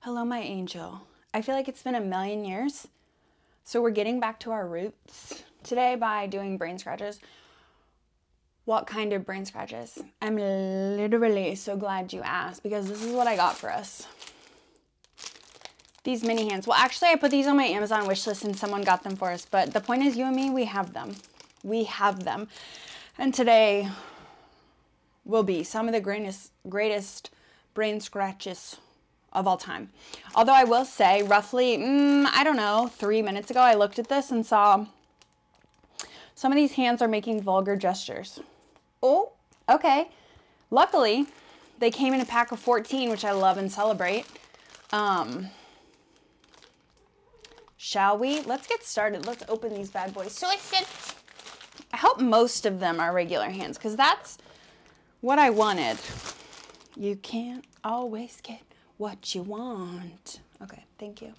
Hello, my angel. I feel like it's been a million years, so we're getting back to our roots today by doing brain scratches. What kind of brain scratches? I'm literally so glad you asked because this is what I got for us. These mini hands. Well, actually, I put these on my Amazon wish list and someone got them for us, but the point is, you and me, we have them. We have them. And today, will be some of the greatest, greatest brain scratches of all time. Although I will say roughly, mm, I don't know, three minutes ago, I looked at this and saw some of these hands are making vulgar gestures. Oh, okay. Luckily, they came in a pack of 14, which I love and celebrate. Um, shall we? Let's get started. Let's open these bad boys. So it I hope most of them are regular hands because that's what I wanted. You can't always get what you want. Okay, thank you.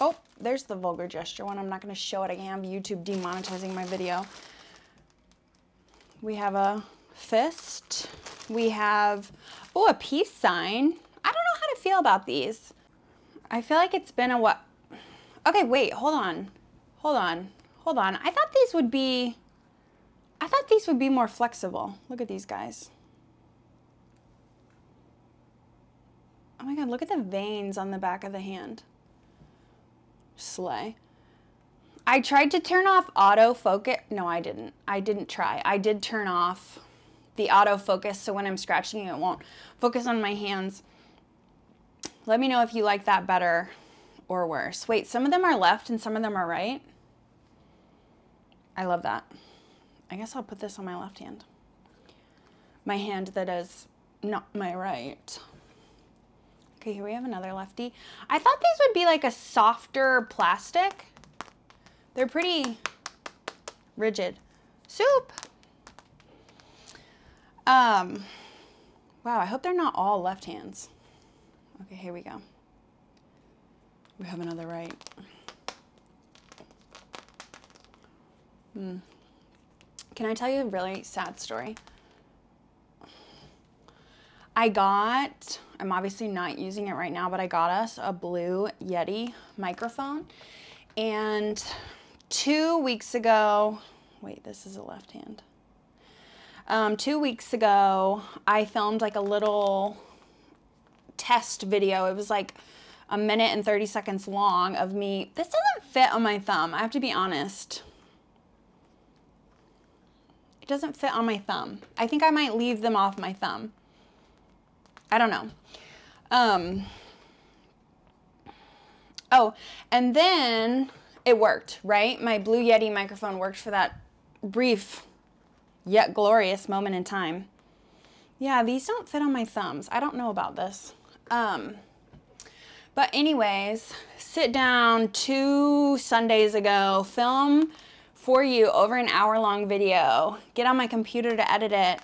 Oh, there's the vulgar gesture one. I'm not going to show it. I have YouTube demonetizing my video. We have a fist. We have, oh, a peace sign. I don't know how to feel about these. I feel like it's been a while. Okay, wait, hold on. Hold on. Hold on. I thought these would be, I thought these would be more flexible. Look at these guys. Oh my God, look at the veins on the back of the hand. Slay. I tried to turn off auto focus. No, I didn't. I didn't try. I did turn off the auto focus, so when I'm scratching it won't focus on my hands. Let me know if you like that better or worse. Wait, some of them are left and some of them are right. I love that. I guess I'll put this on my left hand. My hand that is not my right. Okay, here we have another lefty. I thought these would be like a softer plastic. They're pretty rigid. Soup. Um, wow, I hope they're not all left hands. Okay, here we go. We have another right. Mm. Can I tell you a really sad story? I got, I'm obviously not using it right now, but I got us a blue Yeti microphone and two weeks ago, wait, this is a left hand. Um, two weeks ago, I filmed like a little test video. It was like a minute and 30 seconds long of me. This doesn't fit on my thumb. I have to be honest. It doesn't fit on my thumb. I think I might leave them off my thumb. I don't know. Um, Oh, and then it worked, right? My Blue Yeti microphone worked for that brief yet glorious moment in time. Yeah, these don't fit on my thumbs. I don't know about this. Um, but anyways, sit down two Sundays ago, film for you over an hour long video, get on my computer to edit it.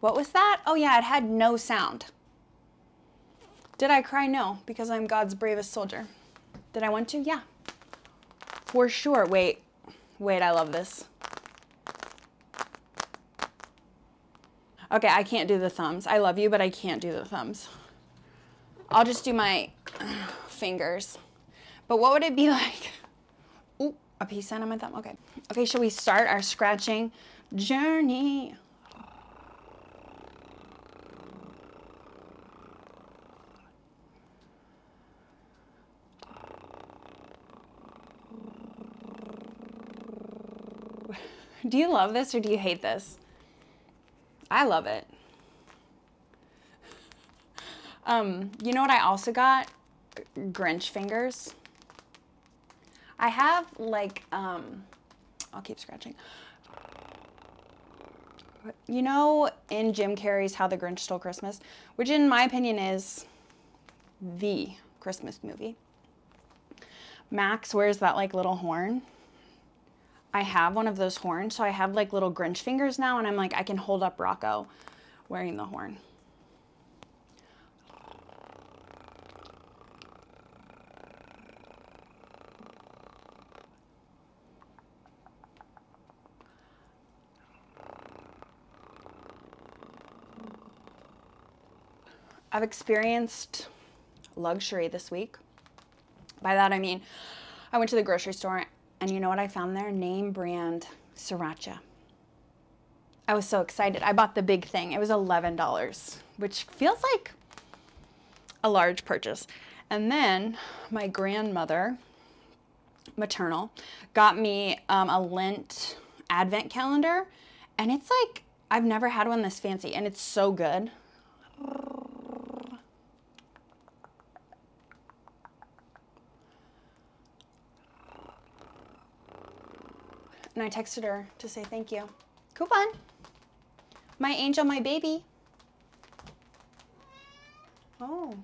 What was that? Oh yeah, it had no sound. Did I cry? No, because I'm God's bravest soldier. Did I want to? Yeah. For sure. Wait, wait, I love this. Okay, I can't do the thumbs. I love you, but I can't do the thumbs. I'll just do my fingers. But what would it be like? Ooh, a peace sign on my thumb. Okay. Okay, shall we start our scratching journey? Do you love this or do you hate this? I love it. Um, you know what I also got? Grinch fingers. I have like, um, I'll keep scratching. You know, in Jim Carrey's How the Grinch Stole Christmas, which in my opinion is the Christmas movie, Max wears that like little horn. I have one of those horns, so I have like little Grinch fingers now, and I'm like, I can hold up Rocco wearing the horn. I've experienced luxury this week. By that I mean, I went to the grocery store and you know what I found there? Name brand sriracha. I was so excited. I bought the big thing. It was $11, which feels like a large purchase. And then my grandmother, maternal, got me um, a lint advent calendar. And it's like, I've never had one this fancy and it's so good. And I texted her to say thank you. Coupon. My angel, my baby. Oh.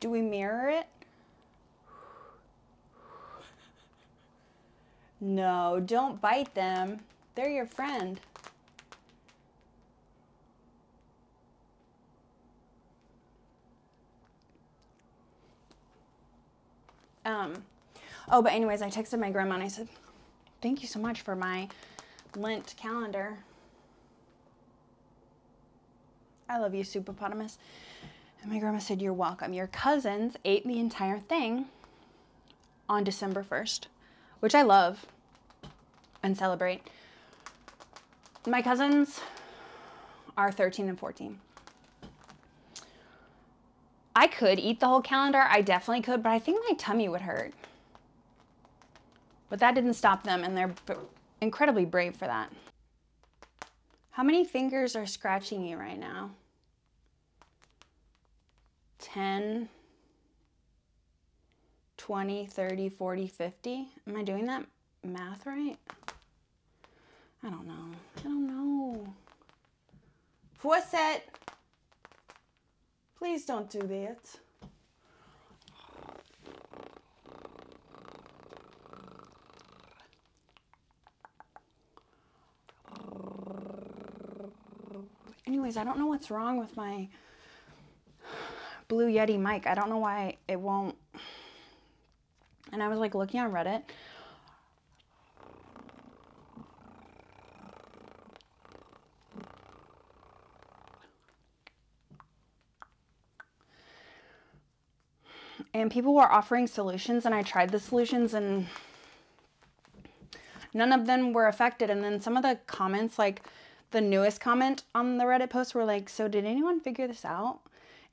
Do we mirror it? No, don't bite them. They're your friend. Um, oh, but anyways, I texted my grandma and I said, thank you so much for my Lent calendar. I love you, Superpotamus. And my grandma said, you're welcome. Your cousins ate the entire thing on December 1st, which I love and celebrate. My cousins are 13 and 14. I could eat the whole calendar. I definitely could, but I think my tummy would hurt. But that didn't stop them, and they're incredibly brave for that. How many fingers are scratching you right now? 10, 20, 30, 40, 50. Am I doing that? math right? I don't know. I don't know. Fawcett! Please don't do that. Anyways, I don't know what's wrong with my Blue Yeti mic. I don't know why it won't. And I was like looking on Reddit. And people were offering solutions, and I tried the solutions, and none of them were affected. And then some of the comments, like, the newest comment on the Reddit post were like, so did anyone figure this out?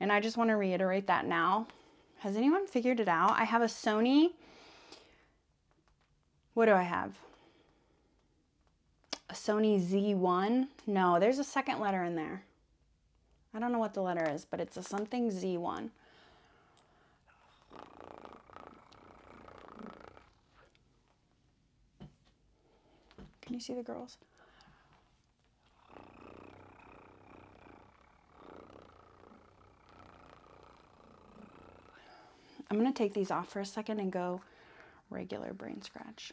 And I just want to reiterate that now. Has anyone figured it out? I have a Sony, what do I have? A Sony Z1? No, there's a second letter in there. I don't know what the letter is, but it's a something Z1. Can you see the girls? I'm going to take these off for a second and go regular brain scratch.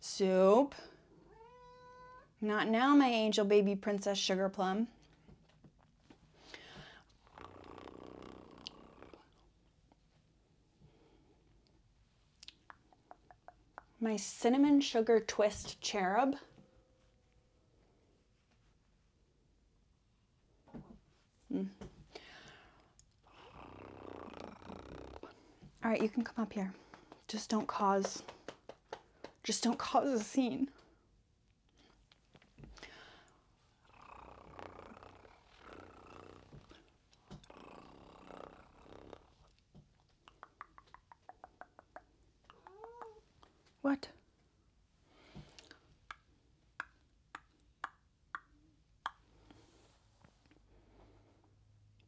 Soup. Not now, my angel baby princess sugar plum. My cinnamon sugar twist cherub. Hmm. All right, you can come up here. Just don't cause, just don't cause a scene. What?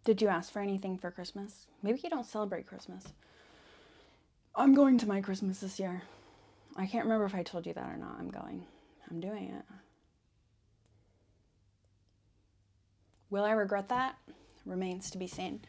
Did you ask for anything for Christmas? Maybe you don't celebrate Christmas. I'm going to my Christmas this year. I can't remember if I told you that or not. I'm going. I'm doing it. Will I regret that? Remains to be seen.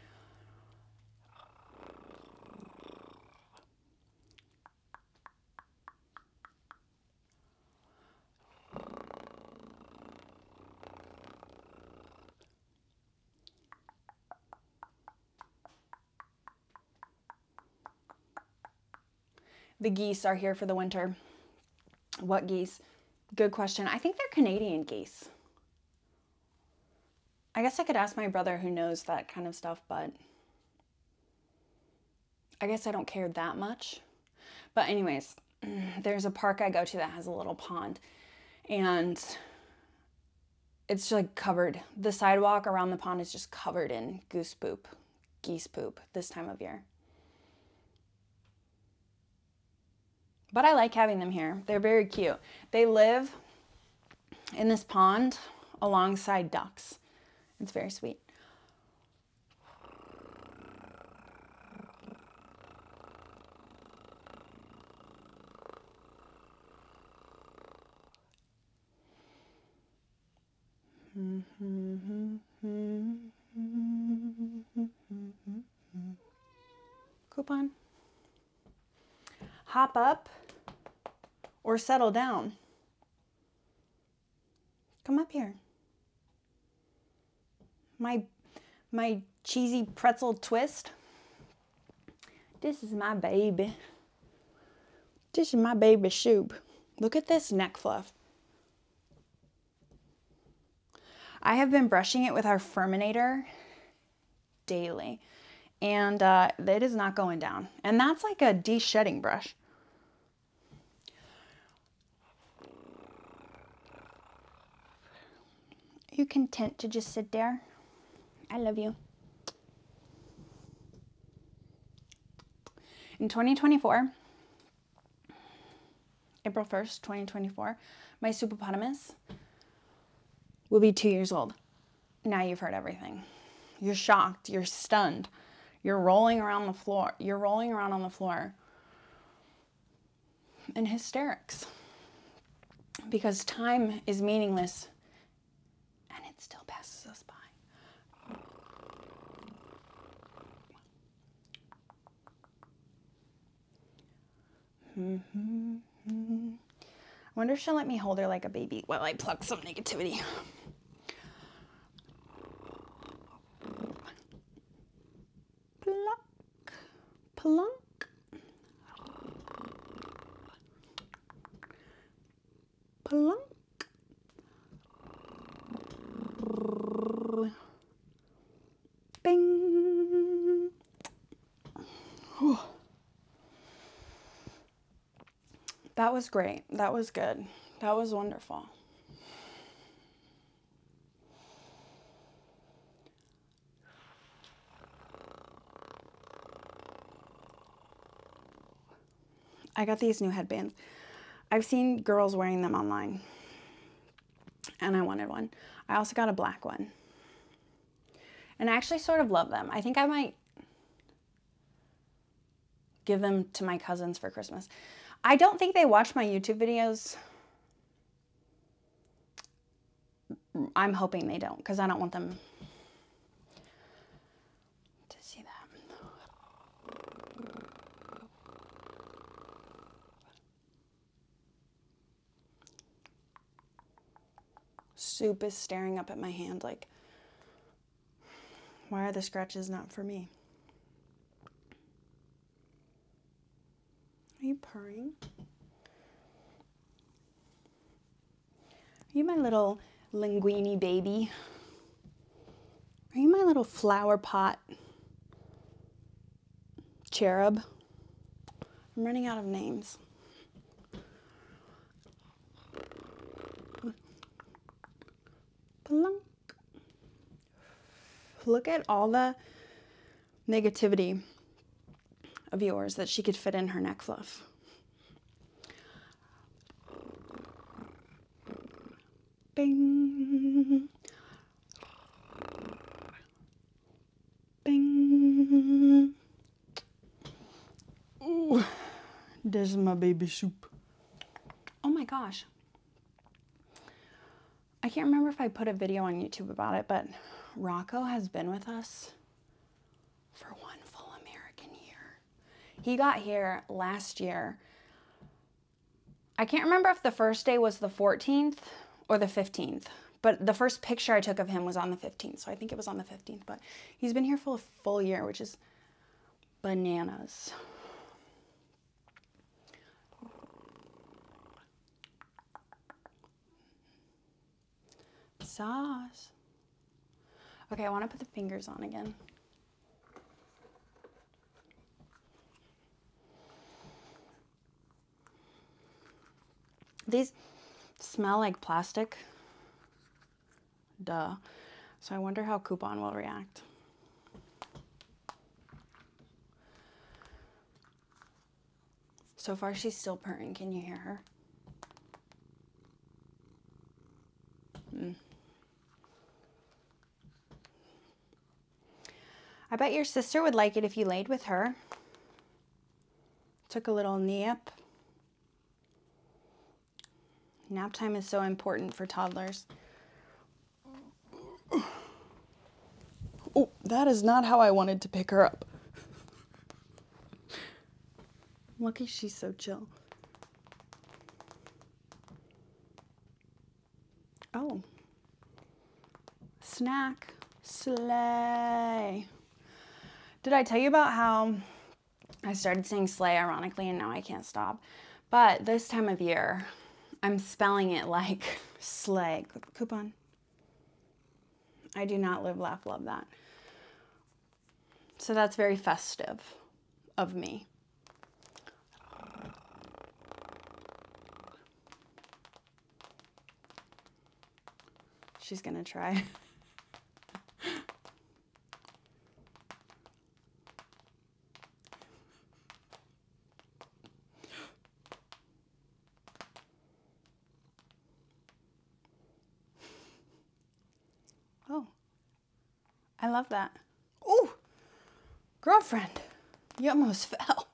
The geese are here for the winter. What geese? Good question. I think they're Canadian geese. I guess I could ask my brother who knows that kind of stuff, but I guess I don't care that much. But anyways, Mm, there's a park I go to that has a little pond and it's like covered. The sidewalk around the pond is just covered in goose poop, geese poop this time of year. But I like having them here. They're very cute. They live in this pond alongside ducks. It's very sweet. Coupon. Hop up or settle down. Come up here. My, my cheesy pretzel twist. This is my baby. This is my baby soup. Look at this neck fluff. I have been brushing it with our Furminator daily and uh, it is not going down. And that's like a de-shedding brush you content to just sit there? I love you. In 2024, April 1st, 2024, my superpotamus will be two years old. Now you've heard everything. You're shocked. You're stunned. You're rolling around the floor. You're rolling around on the floor and hysterics because time is meaningless and it still passes us by. -hmm. I wonder if she'll let me hold her like a baby while I pluck some negativity. Plunk, plunk, plunk, bing. Whew. That was great. That was good. That was wonderful. I got these new headbands. I've seen girls wearing them online and I wanted one. I also got a black one. And I actually sort of love them. I think I might give them to my cousins for Christmas. I don't think they watch my YouTube videos. I'm hoping they don't because I don't want them to see that. Soup is staring up at my hand like, why are the scratches not for me? Are you purring? Are you my little linguini baby? Are you my little flower pot cherub? I'm running out of names. Look at all the negativity of yours that she could fit in her neck fluff. Bing. Bing. this is my baby soup. Oh my gosh. I can't remember if I put a video on YouTube about it, but Rocco has been with us for one full American year. He got here last year. I can't remember if the first day was the 14th or the 15th, but the first picture I took of him was on the 15th, so I think it was on the 15th, but he's been here for a full year, which is bananas. Sauce. Okay, I want to put the fingers on again. These smell like plastic. Duh. So I wonder how Coupon will react. So far, she's still purring. Can you hear her? Hmm. I bet your sister would like it if you laid with her. Took a little nap. Nap time is so important for toddlers. Oh, that is not how I wanted to pick her up. Lucky she's so chill. Oh. Snack. Slay. Did I tell you about how I started saying slay ironically and now I can't stop? But this time of year, I'm spelling it like slay. Coupon, I do not live, laugh, love that. So that's very festive of me. She's gonna try. Oh, I love that. Oh, girlfriend, you almost fell.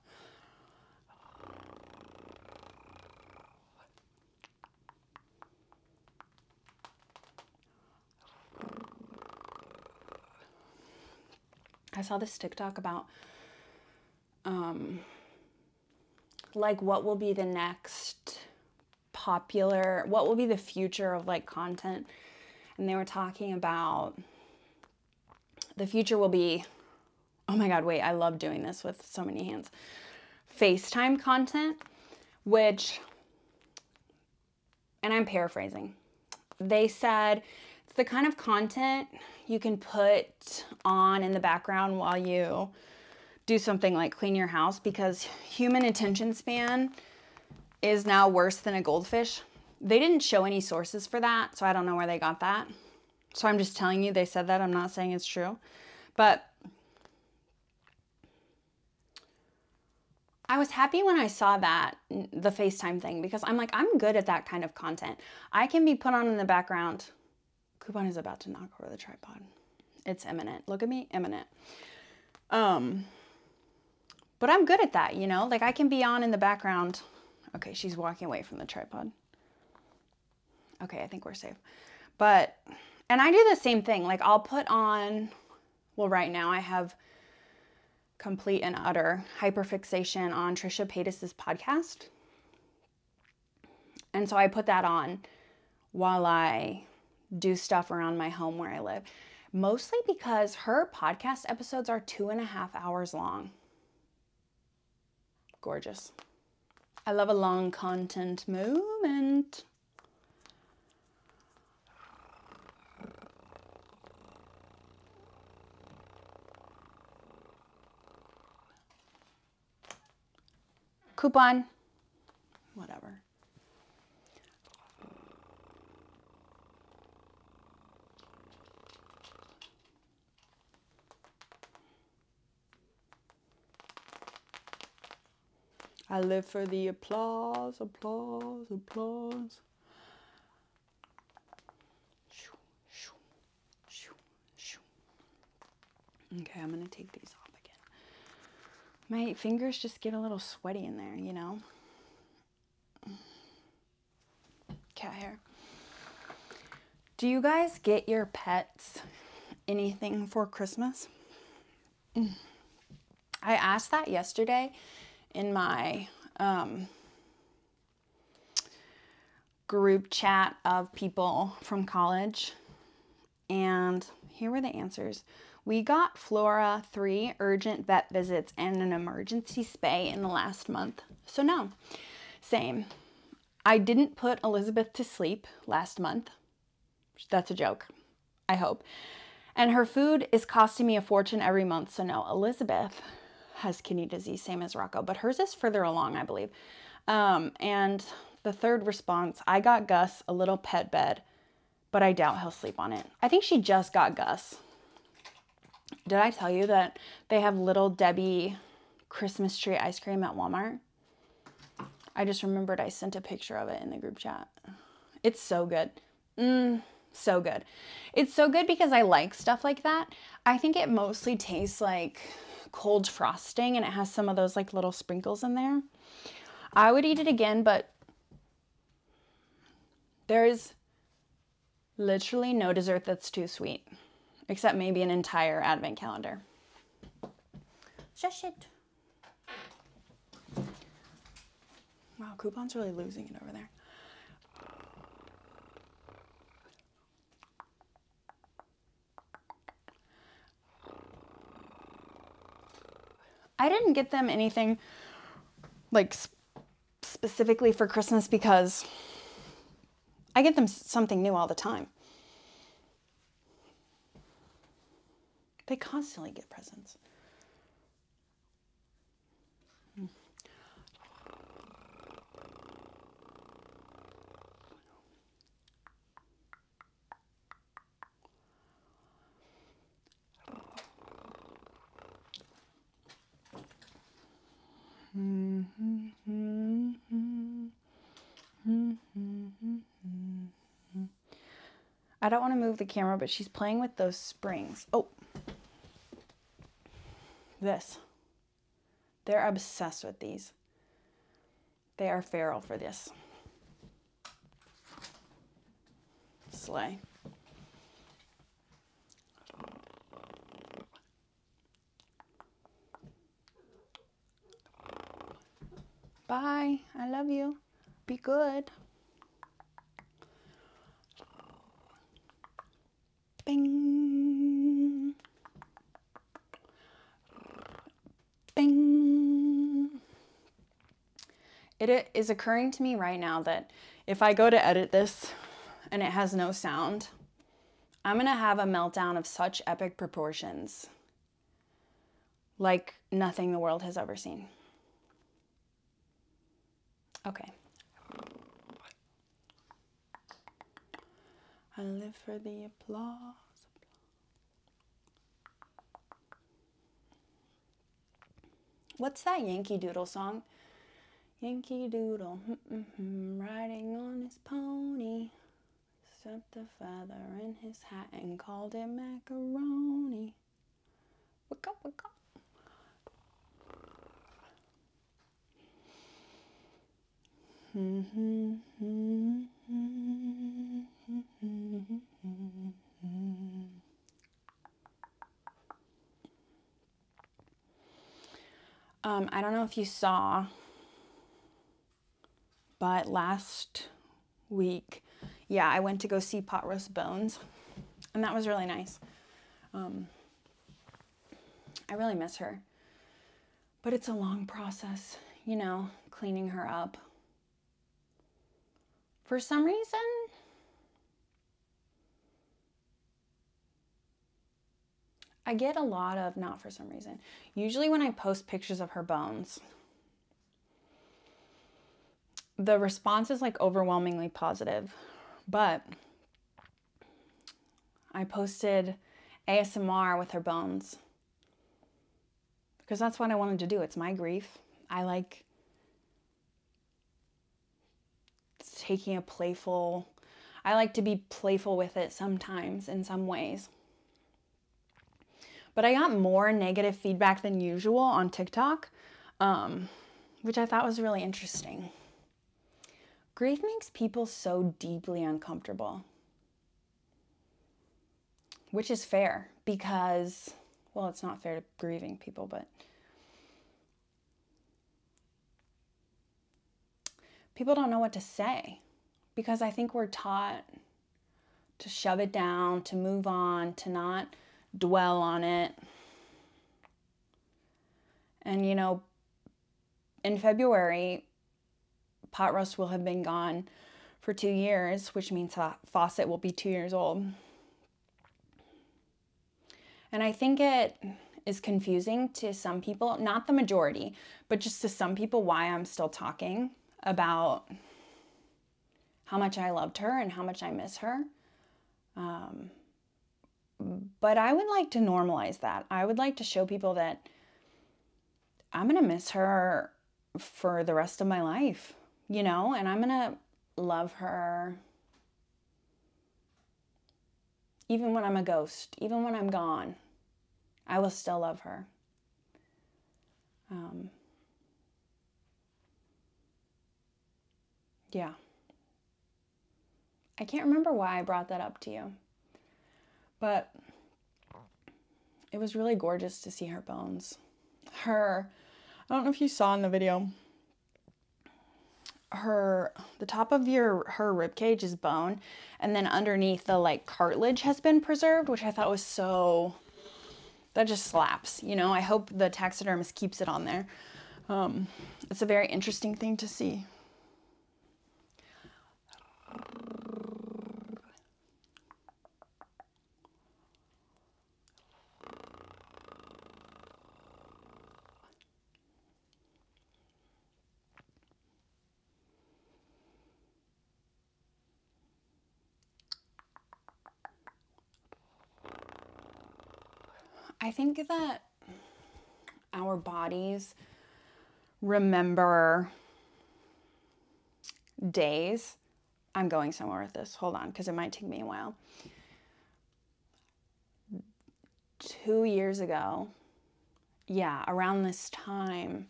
I saw this TikTok about um, like what will be the next popular, what will be the future of like content. And they were talking about the future will be, oh my God, wait, I love doing this with so many hands. FaceTime content, which, and I'm paraphrasing, they said it's the kind of content you can put on in the background while you do something like clean your house because human attention span is now worse than a goldfish. They didn't show any sources for that, so I don't know where they got that. So I'm just telling you they said that. I'm not saying it's true. But I was happy when I saw that, the FaceTime thing, because I'm like, I'm good at that kind of content. I can be put on in the background Coupon is about to knock over the tripod. It's imminent. Look at me, imminent. Um, but I'm good at that, you know? Like I can be on in the background. Okay, she's walking away from the tripod. Okay, I think we're safe. But, and I do the same thing. Like I'll put on, well, right now I have complete and utter hyperfixation on Trisha Paytas's podcast. And so I put that on while I do stuff around my home where I live, mostly because her podcast episodes are two and a half hours long. Gorgeous. I love a long content moment coupon, whatever. I live for the applause, applause, applause. Shoo, shoo. Okay, I'm going to take these off again. My fingers just get a little sweaty in there, you know? Cat hair. Do you guys get your pets anything for Christmas? I asked that yesterday in my um, group chat of people from college. And here were the answers. We got Flora three urgent vet visits and an emergency spay in the last month. So, no, same. I didn't put Elizabeth to sleep last month. That's a joke, I hope. And her food is costing me a fortune every month. So, no, Elizabeth has kidney disease, same as Rocco, but hers is further along, I believe. Um, and the third response, I got Gus a little pet bed, but I doubt he'll sleep on it. I think she just got Gus. Did I tell you that they have Little Debbie Christmas tree ice cream at Walmart? I just remembered I sent a picture of it in the group chat. It's so good. Mm, so good. It's so good because I like stuff like that. I think it mostly tastes like cold frosting and it has some of those like little sprinkles in there. I would eat it again, but there's literally no dessert that's too sweet, except maybe an entire advent calendar. Shush it. Wow, Coupon's really losing it over there. I didn't get them anything like specifically for Christmas because I get them something new all the time. They constantly get presents. I don't want to move the camera, but she's playing with those springs. Oh, this. They're obsessed with these. They are feral for this. Slay. Bye. I love you. Be good. Bing. Bing. It is occurring to me right now that if I go to edit this and it has no sound, I'm gonna have a meltdown of such epic proportions, like nothing the world has ever seen. Okay. I live for the applause. What's that Yankee Doodle song? Yankee Doodle, riding on his pony, stuffed a feather in his hat and called it macaroni. Wake up, wake up. Um, I don't know if you saw, but last week, yeah, I went to go see Pot Roast Bones, and that was really nice. Um, I really miss her. But it's a long process, you know, cleaning her up. For some reason, I get a lot of, not for some reason, usually when I post pictures of her bones, the response is like overwhelmingly positive. But I posted ASMR with her bones because that's what I wanted to do. It's my grief. I like taking a playful, I like to be playful with it sometimes in some ways. But I got more negative feedback than usual on TikTok, um, which I thought was really interesting. Grief makes people so deeply uncomfortable which is fair because, well, it's not fair to grieving people, but people don't know what to say because I think we're taught to shove it down, to move on, to not dwell on it. And, you know, in February, pot roast will have been gone for two years, which means that faucet will be two years old. And I think it is confusing to some people, not the majority, but just to some people why I'm still talking about how much I loved her and how much I miss her. Um, but I would like to normalize that. I would like to show people that I'm going to miss her for the rest of my life, you know, and I'm going to love her even when I'm a ghost, even when I'm gone. I will still love her. Um, yeah. I can't remember why I brought that up to you, but it was really gorgeous to see her bones. Her, I don't know if you saw in the video, her the top of your her rib cage is bone and then underneath the like cartilage has been preserved which i thought was so that just slaps you know i hope the taxidermist keeps it on there um, it's a very interesting thing to see I think that our bodies remember days. I'm going somewhere with this. Hold on, because it might take me a while. Two years ago, yeah, around this time,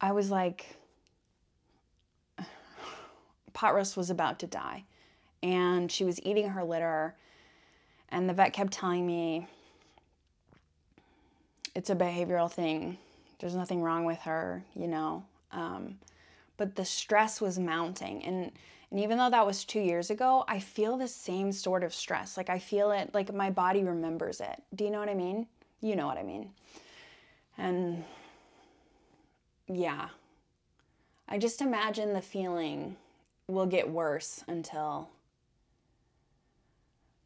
I was like, pot roast was about to die. And she was eating her litter. And the vet kept telling me, it's a behavioral thing. There's nothing wrong with her, you know. Um, but the stress was mounting. And, and even though that was two years ago, I feel the same sort of stress. Like I feel it, like my body remembers it. Do you know what I mean? You know what I mean. And yeah, I just imagine the feeling will get worse until,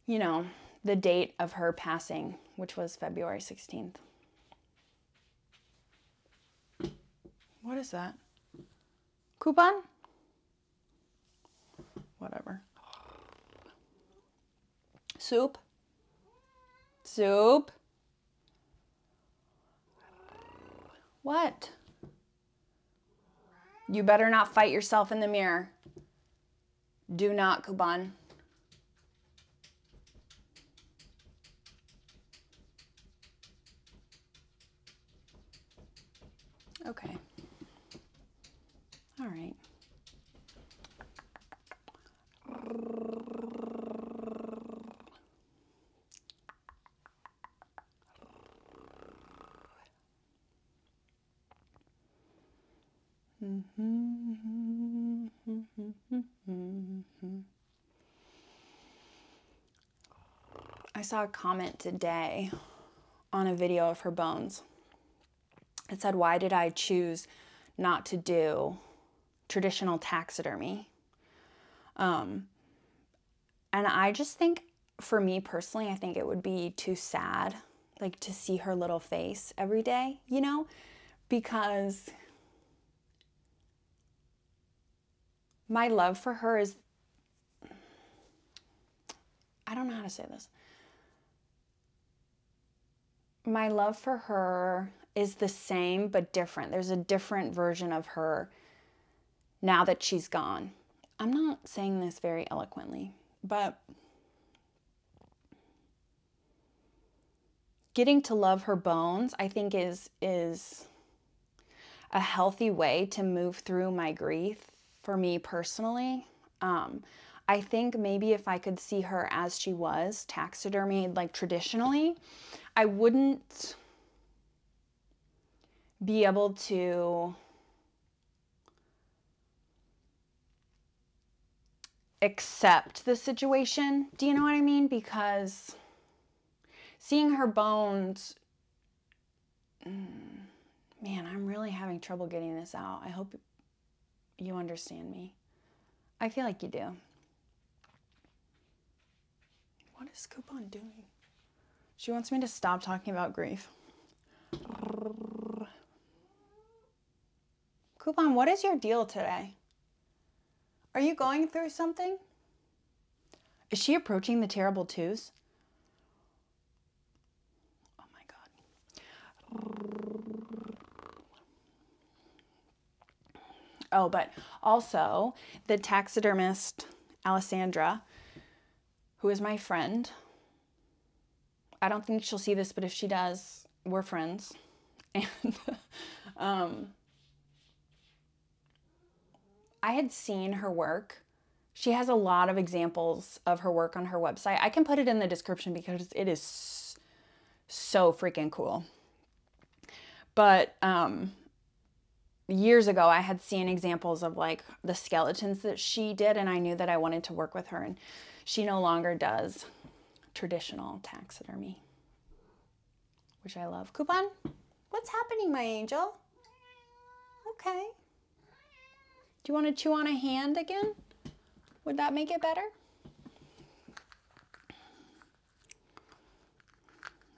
you know, the date of her passing, which was February 16th. What is that? Coupon? Whatever. Soup? Soup? What? You better not fight yourself in the mirror. Do not, Kuban. Okay. All right. I saw a comment today on a video of her bones. It said, Why did I choose not to do traditional taxidermy? Um, and I just think, for me personally, I think it would be too sad, like to see her little face every day, you know, because my love for her is, I don't know how to say this. My love for her is the same but different. There's a different version of her now that she's gone. I'm not saying this very eloquently, but getting to love her bones, I think is is a healthy way to move through my grief for me personally. Um, I think maybe if I could see her as she was, taxidermied like traditionally, I wouldn't be able to accept the situation. Do you know what I mean? Because seeing her bones, mm, man, I'm really having trouble getting this out. I hope you understand me. I feel like you do. What is Coupon doing? She wants me to stop talking about grief. Coupon, what is your deal today? Are you going through something? Is she approaching the terrible twos? Oh my God. Oh, but also the taxidermist, Alessandra, who is my friend, I don't think she'll see this, but if she does, we're friends. And um, I had seen her work. She has a lot of examples of her work on her website. I can put it in the description because it is so freaking cool. But um, years ago, I had seen examples of like, the skeletons that she did and I knew that I wanted to work with her and she no longer does traditional taxidermy, which I love. Coupon, what's happening, my angel? Okay. Do you want to chew on a hand again? Would that make it better?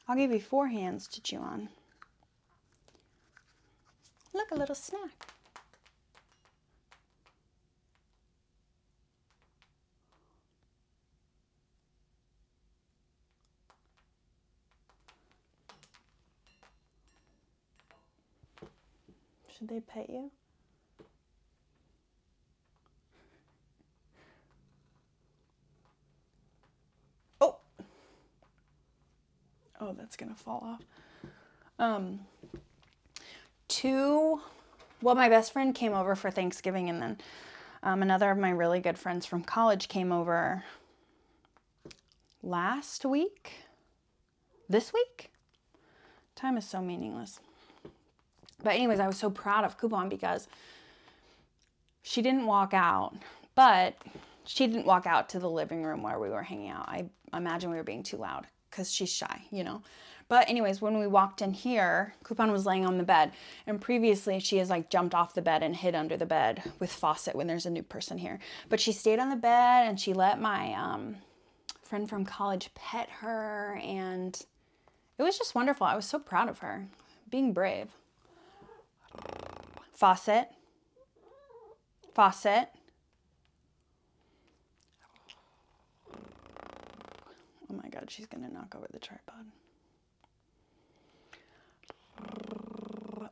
I'll give you four hands to chew on. Look, a little snack. Should they pet you? Oh! Oh, that's going to fall off. Um, two, well, my best friend came over for Thanksgiving, and then um, another of my really good friends from college came over last week, this week. Time is so meaningless. But, anyways, I was so proud of Coupon because she didn't walk out, but she didn't walk out to the living room where we were hanging out. I imagine we were being too loud because she's shy, you know. But anyways, when we walked in here, Coupon was laying on the bed. And previously she has like jumped off the bed and hid under the bed with Fawcett when there's a new person here. But she stayed on the bed and she let my um, friend from college pet her. And it was just wonderful. I was so proud of her being brave. Fawcett, faucet. Oh my god, she's gonna knock over the tripod.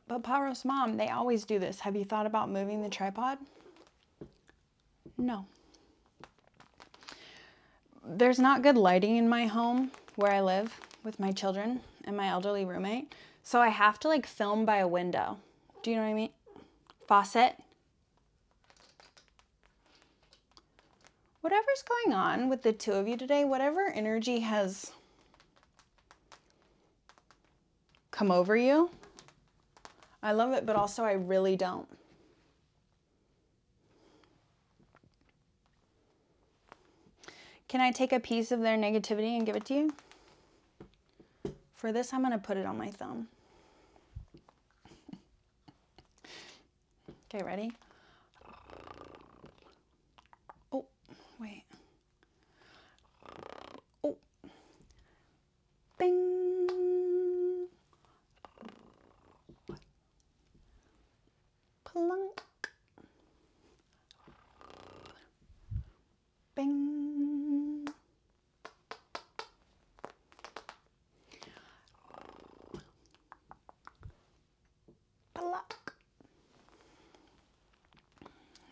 But Pyro's mom, they always do this. Have you thought about moving the tripod? No. There's not good lighting in my home where I live with my children and my elderly roommate. So I have to like film by a window. Do you know what I mean? Faucet. Whatever's going on with the two of you today, whatever energy has come over you, I love it, but also I really don't. Can I take a piece of their negativity and give it to you? For this, I'm going to put it on my thumb. okay, ready? Oh, wait. Oh. Bing. Plunk. Bing. Pluck.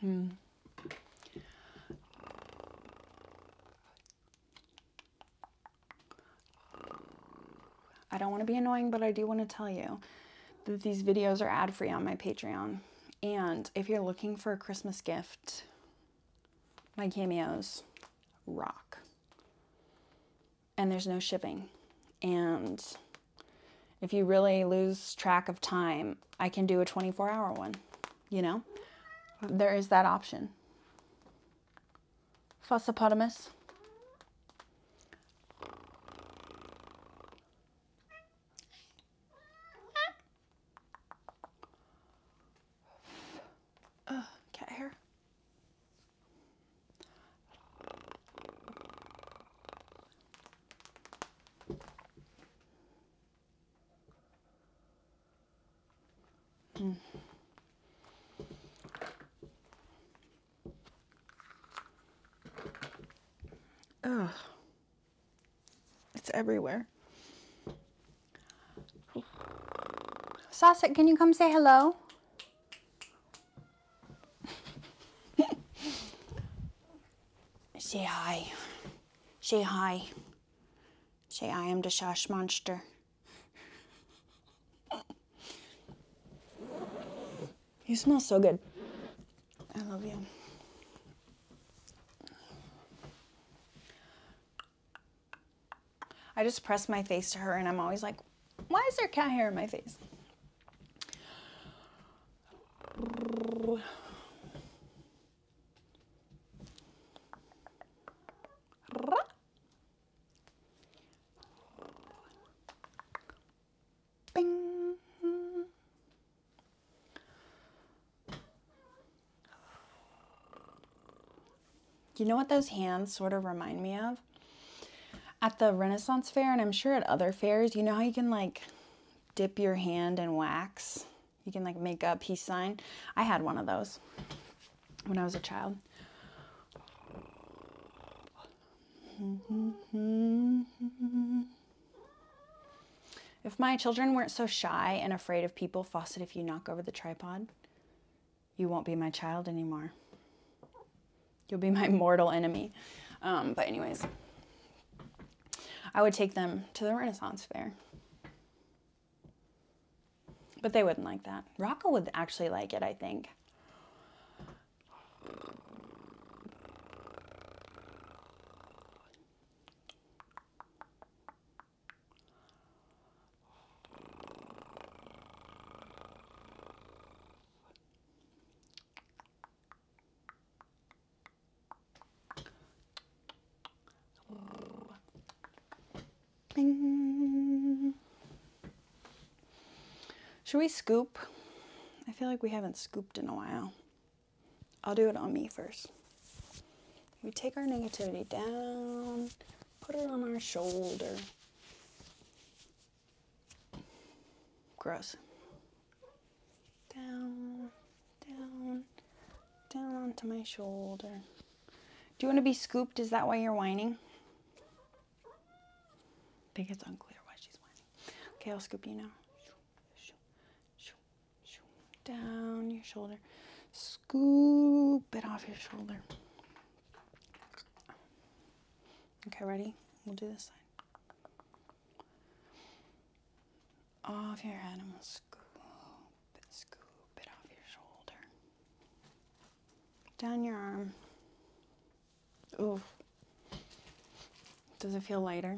Hmm. I don't want to be annoying, but I do want to tell you that these videos are ad free on my Patreon. And if you're looking for a Christmas gift, my cameos rock. And there's no shipping. And if you really lose track of time, I can do a 24 hour one, you know? There is that option. Fussopotamus. Uh, cat hair. Mm. Ugh. It's everywhere. Sasa, can you come say hello? say hi. Say hi. Say I am the Sash Monster. You smell so good. I love you. I just press my face to her and I'm always like, why is there cat hair in my face? You know what those hands sort of remind me of? At the Renaissance Fair, and I'm sure at other fairs, you know how you can like dip your hand in wax? You can like make a peace sign. I had one of those when I was a child. If my children weren't so shy and afraid of people, Fawcett, if you knock over the tripod, you won't be my child anymore. You'll be my mortal enemy. Um, but anyways, I would take them to the Renaissance Fair. But they wouldn't like that. Rocco would actually like it, I think. Should we scoop? I feel like we haven't scooped in a while. I'll do it on me first. We take our negativity down, put it on our shoulder. Gross. Down, down, down onto my shoulder. Do you want to be scooped? Is that why you're whining? I think it's unclear why she's whining. Okay, I'll scoop you now down your shoulder. Scoop it off your shoulder. Okay, ready? We'll do this side. Off your head. I'm going to scoop it, scoop it off your shoulder. Down your arm. Ooh, Does it feel lighter?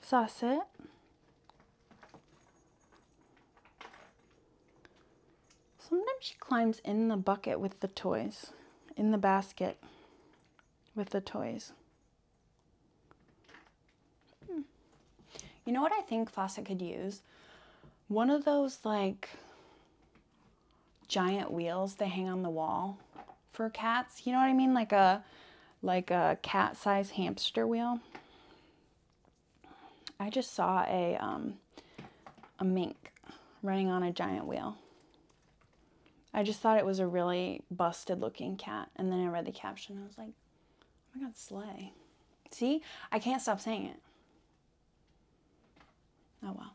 Sauce it. Sometimes she climbs in the bucket with the toys, in the basket with the toys. Hmm. You know what I think Fawcett could use? One of those like giant wheels that hang on the wall for cats. You know what I mean? Like a like a cat size hamster wheel. I just saw a um, a mink running on a giant wheel. I just thought it was a really busted looking cat, and then I read the caption. I was like, "Oh my God, sleigh!" See, I can't stop saying it. Oh well.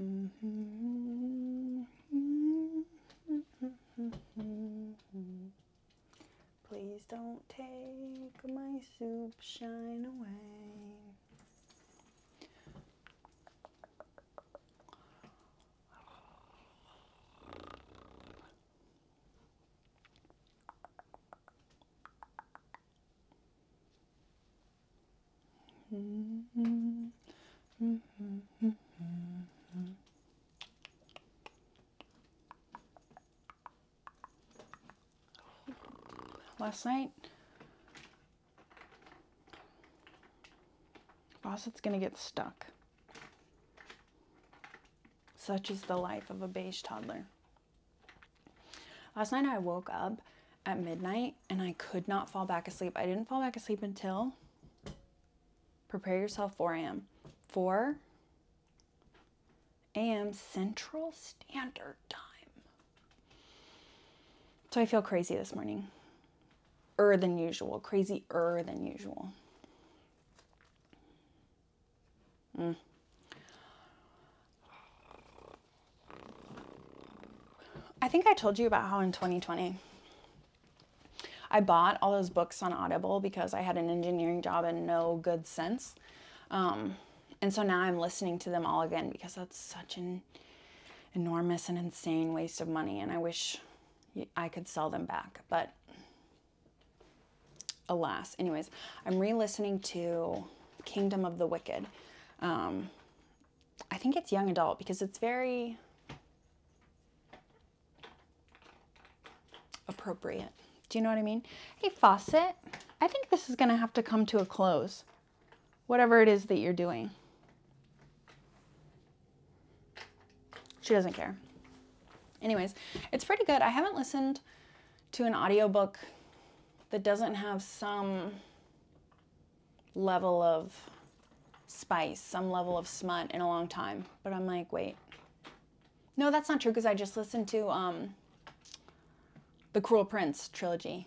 Mm-hmm. Please don't take my soup shine away. Last night, faucet's gonna get stuck. Such is the life of a beige toddler. Last night I woke up at midnight and I could not fall back asleep. I didn't fall back asleep until prepare yourself 4 a.m. 4 a.m. Central Standard Time. So I feel crazy this morning. Er than usual. Crazy er than usual. Mm. I think I told you about how in 2020 I bought all those books on Audible because I had an engineering job and no good sense. Um, and so now I'm listening to them all again because that's such an enormous and insane waste of money. And I wish I could sell them back. But alas, anyways, I'm re listening to Kingdom of the Wicked. Um, I think it's young adult because it's very appropriate. Do you know what I mean? Hey, faucet, I think this is gonna have to come to a close, whatever it is that you're doing. She doesn't care. Anyways, it's pretty good. I haven't listened to an audiobook that doesn't have some level of spice, some level of smut in a long time. But I'm like, wait. No, that's not true because I just listened to um, the Cruel Prince trilogy,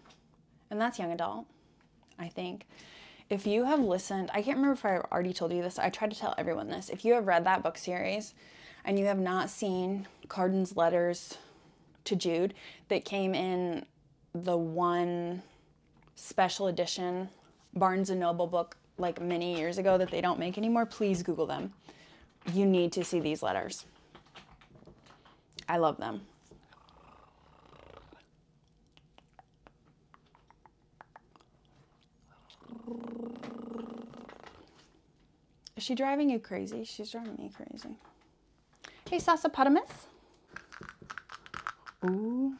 and that's young adult, I think. If you have listened, I can't remember if I already told you this. I tried to tell everyone this. If you have read that book series and you have not seen Carden's letters to Jude that came in the one special edition Barnes & Noble book like many years ago that they don't make anymore, please Google them. You need to see these letters. I love them. Is she driving you crazy? She's driving me crazy. Hey, Sasapotamus. Ooh.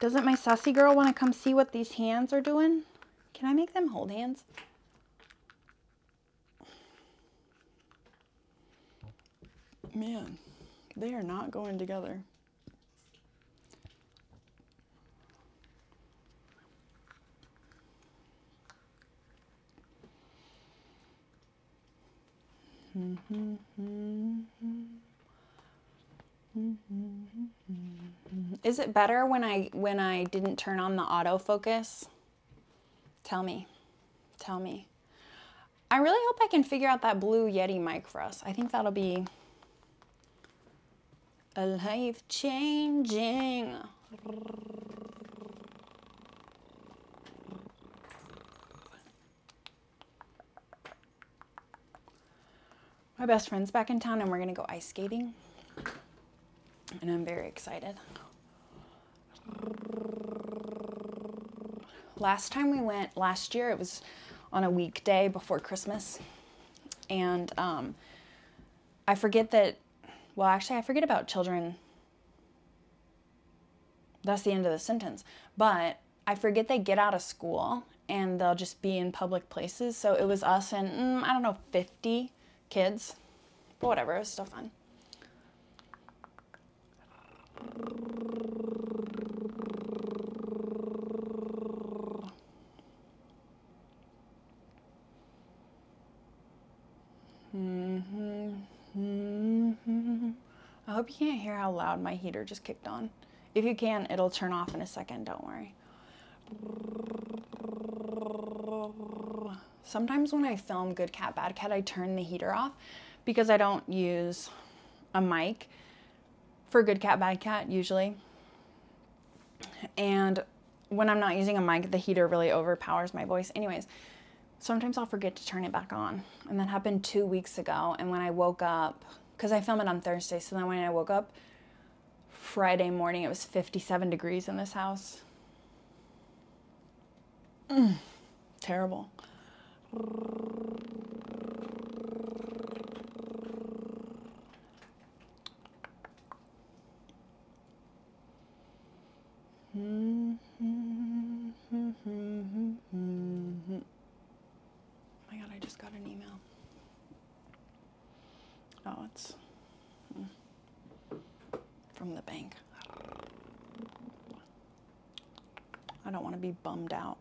Doesn't my sassy girl want to come see what these hands are doing? Can I make them hold hands? Man, they are not going together. Mm-hmm. Is it better when I when I didn't turn on the autofocus? Tell me. Tell me. I really hope I can figure out that blue Yeti mic for us. I think that'll be a life changing. My best friend's back in town and we're gonna go ice skating. And I'm very excited. Last time we went, last year, it was on a weekday before Christmas. And um, I forget that, well, actually, I forget about children that's the end of the sentence. But I forget they get out of school and they'll just be in public places. So it was us and, mm, I don't know, 50 kids. But whatever, it was still fun. Mm-hmm. Mm-hmm. I hope you can't hear how loud my heater just kicked on. If you can, it'll turn off in a second, don't worry. Sometimes when I film Good Cat, Bad Cat, I turn the heater off because I don't use a mic for Good Cat, Bad Cat usually. And when I'm not using a mic, the heater really overpowers my voice. Anyways, sometimes I'll forget to turn it back on. And that happened two weeks ago. And when I woke up, because I film it on Thursday, so then when I woke up Friday morning, it was 57 degrees in this house. Mm, terrible. Oh my god, I just got an email. Oh, it's hmm. from the bank. I don't want to be bummed out.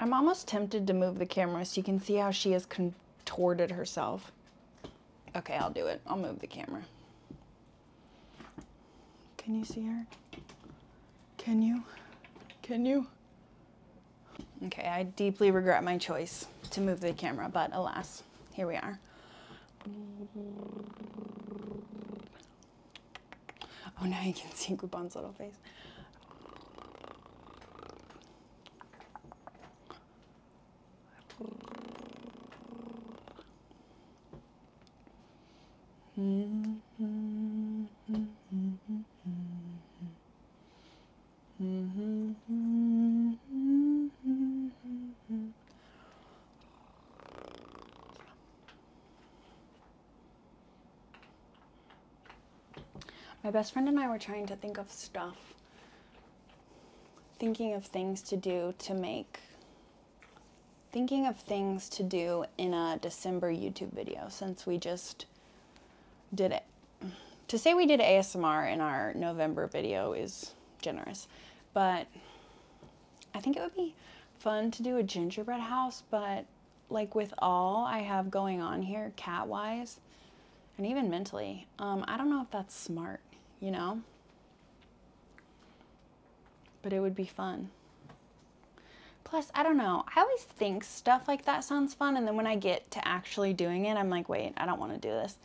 I'm almost tempted to move the camera so you can see how she has contorted herself. Okay, I'll do it. I'll move the camera. Can you see her? Can you? Can you? Okay, I deeply regret my choice to move the camera, but alas, here we are. Oh, now you can see Groupon's little face. My best friend and I were trying to think of stuff, thinking of things to do to make, thinking of things to do in a December YouTube video since we just did it to say we did ASMR in our November video is generous, but I think it would be fun to do a gingerbread house, but like with all I have going on here cat wise and even mentally, um, I don't know if that's smart, you know? But it would be fun. Plus, I don't know, I always think stuff like that sounds fun, and then when I get to actually doing it, I'm like, wait, I don't want to do this.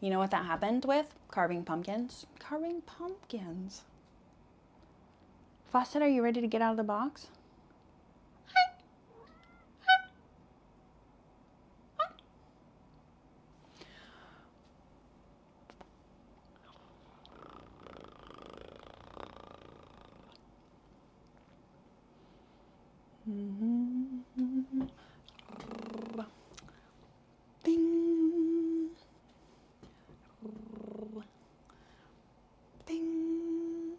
You know what that happened with? Carving pumpkins. Carving pumpkins. Fawcett, are you ready to get out of the box? Mm -hmm. Bing. Bing.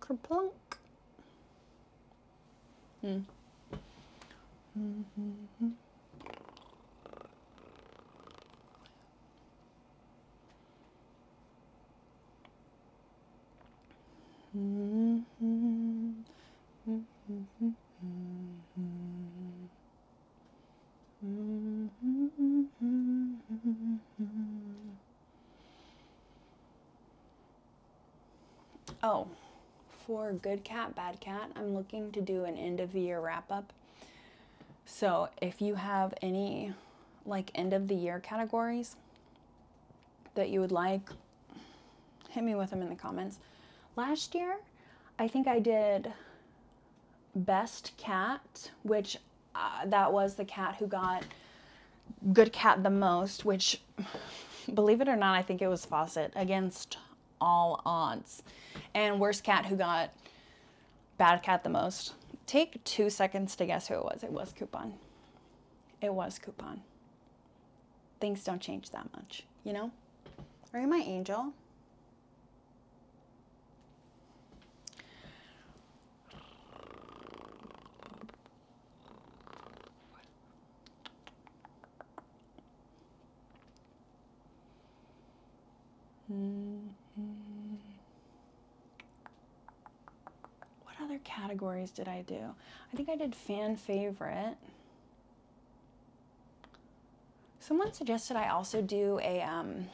Kerplunk. Hmm. Mm -hmm. Oh, for Good Cat, Bad Cat, I'm looking to do an end of the year wrap up. So if you have any like end of the year categories that you would like, hit me with them in the comments. Last year, I think I did best cat, which uh, that was the cat who got good cat the most, which believe it or not, I think it was Fawcett against all odds. And worst cat who got bad cat the most. Take two seconds to guess who it was. It was Coupon. It was Coupon. Things don't change that much, you know? Are you my angel? Hmm what other categories did I do? I think I did fan favorite. Someone suggested I also do a um,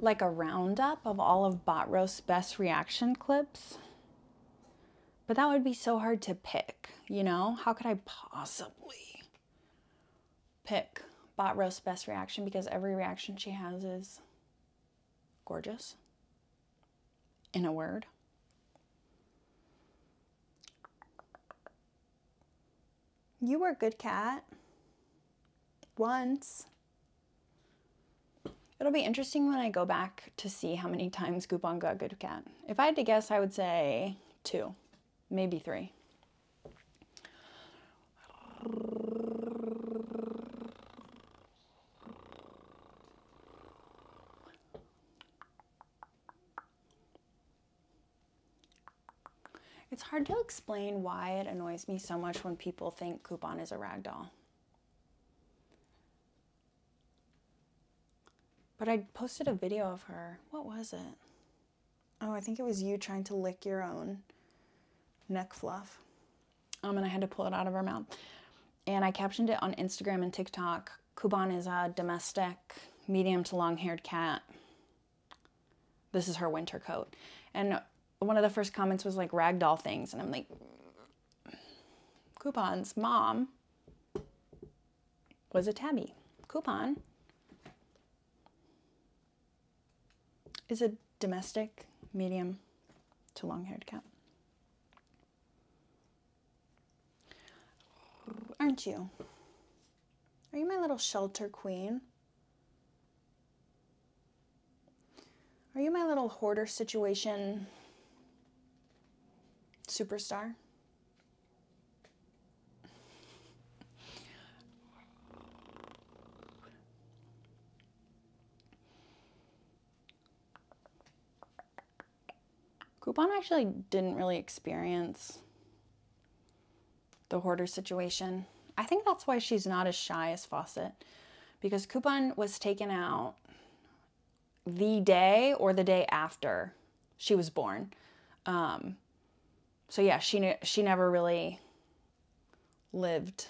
like a roundup of all of Bot best reaction clips. But that would be so hard to pick, you know? How could I possibly pick Bot Roast Best Reaction because every reaction she has is gorgeous, in a word. You were good cat. Once. It'll be interesting when I go back to see how many times Goopon got good cat. If I had to guess, I would say two, maybe three. It's hard to explain why it annoys me so much when people think Coupon is a rag doll. But I posted a video of her. What was it? Oh, I think it was you trying to lick your own neck fluff. Um, and I had to pull it out of her mouth. And I captioned it on Instagram and TikTok. Kuban is a domestic, medium to long haired cat. This is her winter coat. And one of the first comments was like ragdoll things. And I'm like, Coupons mom was a tabby. Coupon is a domestic, medium to long haired cat. Aren't you? Are you my little shelter queen? Are you my little hoarder situation superstar? Coupon actually didn't really experience the hoarder situation. I think that's why she's not as shy as Fawcett because Coupon was taken out the day or the day after she was born. Um, so yeah, she she never really lived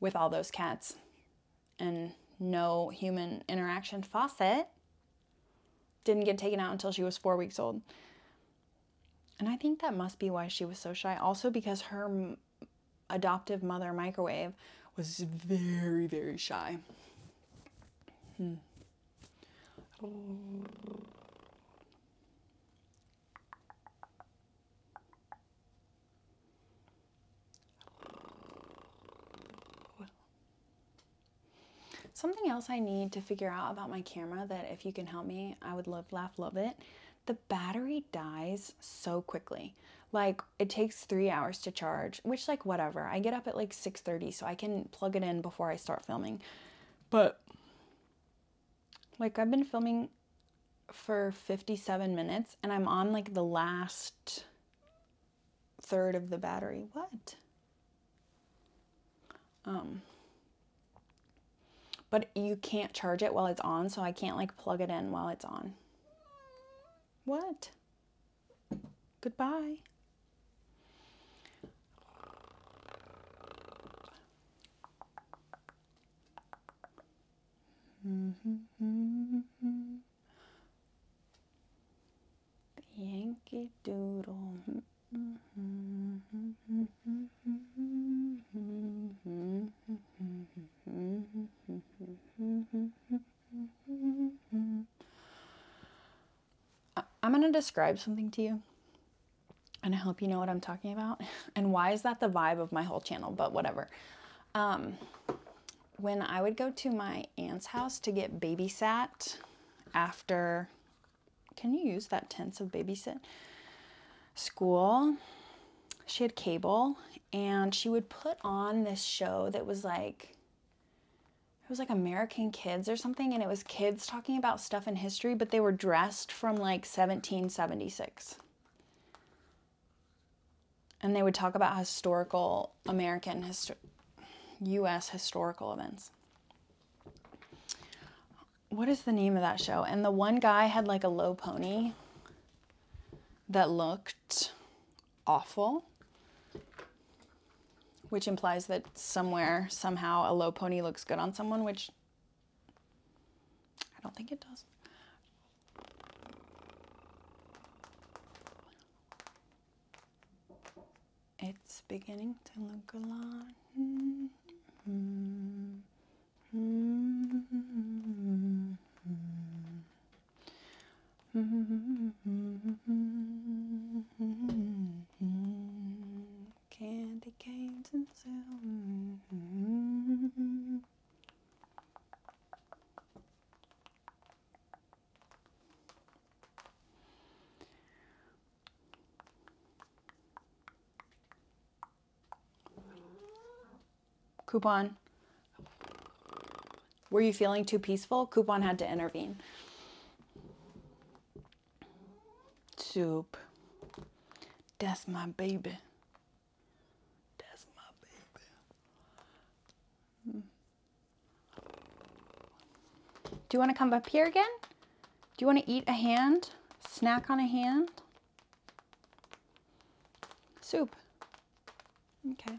with all those cats and no human interaction. Faucet didn't get taken out until she was four weeks old. And I think that must be why she was so shy. Also, because her adoptive mother, Microwave, was very, very shy. Hmm. Something else I need to figure out about my camera that if you can help me, I would love, laugh, love it. The battery dies so quickly. Like it takes three hours to charge, which like whatever. I get up at like 6.30 so I can plug it in before I start filming. But like I've been filming for 57 minutes and I'm on like the last third of the battery. What? Um, but you can't charge it while it's on, so I can't like plug it in while it's on. What? Goodbye. Yankee Doodle. I'm going to describe something to you and I hope you know what I'm talking about. And why is that the vibe of my whole channel? But whatever. Um, when I would go to my aunt's house to get babysat after, can you use that tense of babysit? School, she had cable and she would put on this show that was like, it was like American Kids or something, and it was kids talking about stuff in history, but they were dressed from like 1776. And they would talk about historical American, US historical events. What is the name of that show? And the one guy had like a low pony that looked awful, which implies that somewhere, somehow, a low pony looks good on someone, which I don't think it does. It's beginning to look a lot. Mm -hmm. Mm -hmm. Mm -hmm. Candy canes and Coupon. Were you feeling too peaceful? Coupon had to intervene. Soup. That's my baby. Hmm. Do you want to come up here again? Do you want to eat a hand? Snack on a hand? Soup. Okay.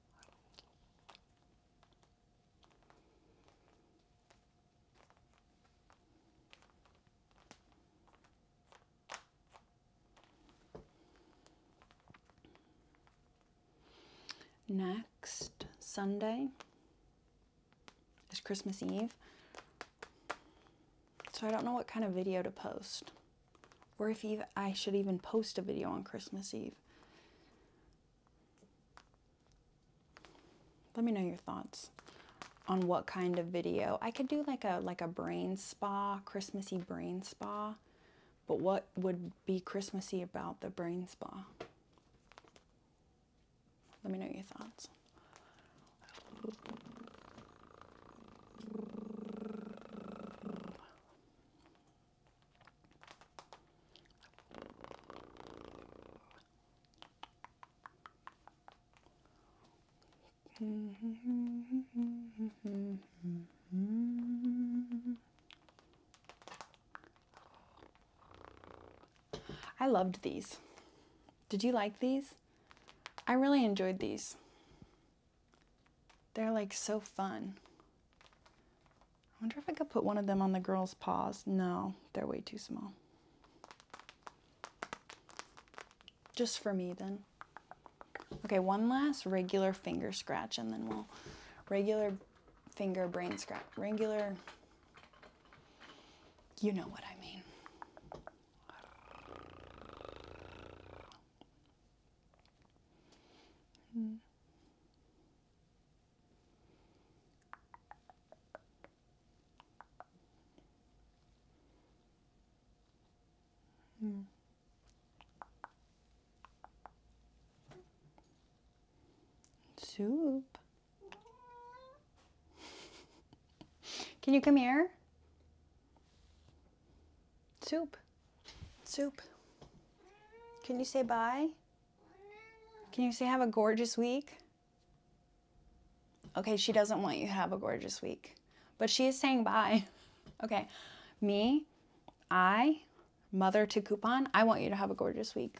Next Sunday is Christmas Eve. So I don't know what kind of video to post or if I should even post a video on Christmas Eve. Let me know your thoughts on what kind of video. I could do like a like a brain spa, Christmassy brain spa, but what would be Christmassy about the brain spa? Let me know your thoughts. I loved these. Did you like these? I really enjoyed these. They're like so fun. I wonder if I could put one of them on the girl's paws. No, they're way too small. Just for me then. Okay, one last regular finger scratch and then we'll regular finger brain scratch. Regular, you know what I mean. Hmm. Hmm. Soup. Can you come here? Soup. Soup. Can you say bye? Can you say have a gorgeous week? Okay, she doesn't want you to have a gorgeous week, but she is saying bye. Okay, me, I, mother to coupon, I want you to have a gorgeous week.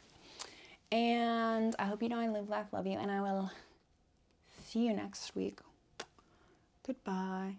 And I hope you know I live, laugh, love you, and I will see you next week. Goodbye.